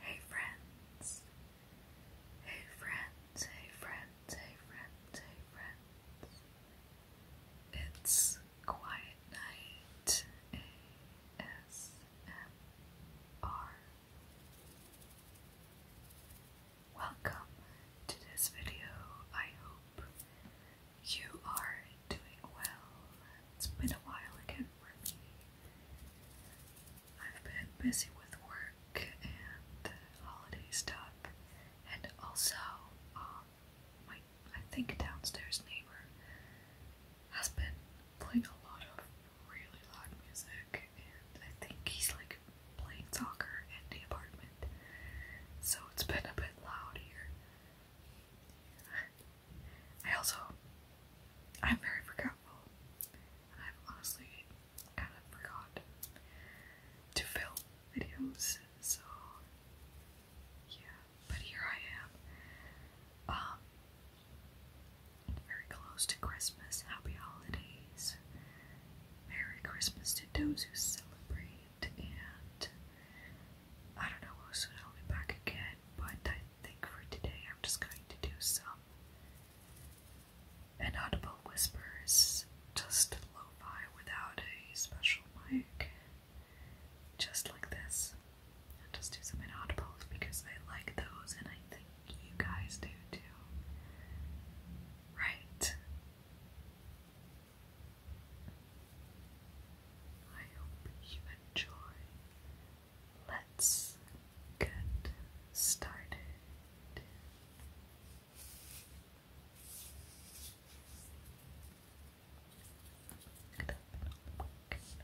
Hey friends. Hey friends, hey friends, hey friends, hey friends. It's Quiet Night ASMR. Welcome to this video. I hope you are doing well. It's been a while again for me. I've been busy with work and holidays stuff, and also, um, my I think downstairs neighbor has been playing a lot of really loud music, and I think he's like playing soccer in the apartment, so it's been a bit loud here. I also, I'm very forgetful, I've honestly kind of forgot to film videos, so yeah, but here I am. Um, very close to Christmas. Happy holidays. Merry Christmas to those who celebrate. And I don't know, we soon I'll be back again. But I think for today, I'm just going to do some inaudible whispers, just lo fi without a special mic. Just like this. I'll just do some inaudibles because I like those and I think you guys do too. Right. I hope you enjoy. Let's get started.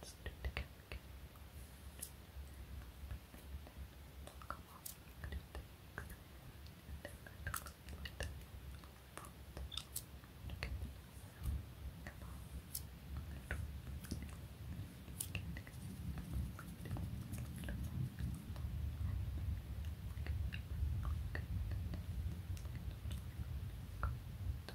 Let's do the cat. Come on, do things. Good.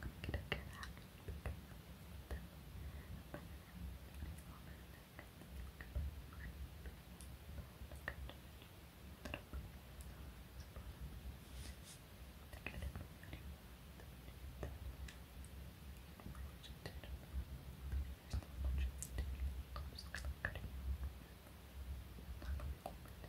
going to get that. Thank you.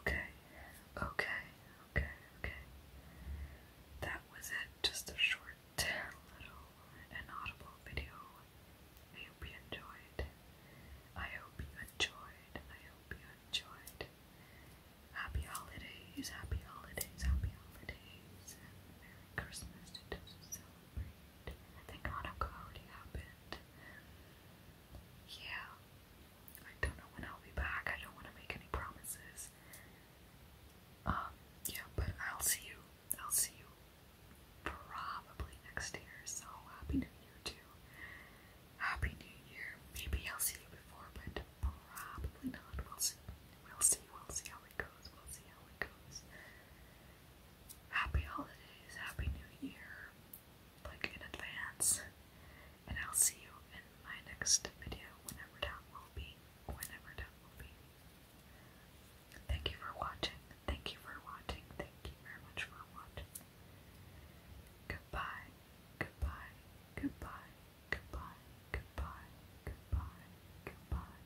Okay, okay, okay, okay. That was it. Just a short, little, inaudible video. I hope you enjoyed. I hope you enjoyed. I hope you enjoyed. Happy holidays, happy holidays, happy holidays, Merry Christmas to those who celebrate. I think Hanukkah already happened. Yeah, I don't know when I'll be back. I don't want to make any promises. Um, yeah, but I'll see you. I'll see you probably next year. So happy New Year too. Happy New Year. Maybe I'll see you before, but probably not. We'll see. We'll see. We'll see how it goes. We'll see how it goes. Happy holidays. Happy New Year like in advance. And I'll see you in my next video, whenever that will be. Whenever that will be. Thank you for watching. Thank you for watching. Thank you very much for watching. Goodbye. Goodbye. Goodbye. Goodbye. Goodbye. Goodbye. Goodbye.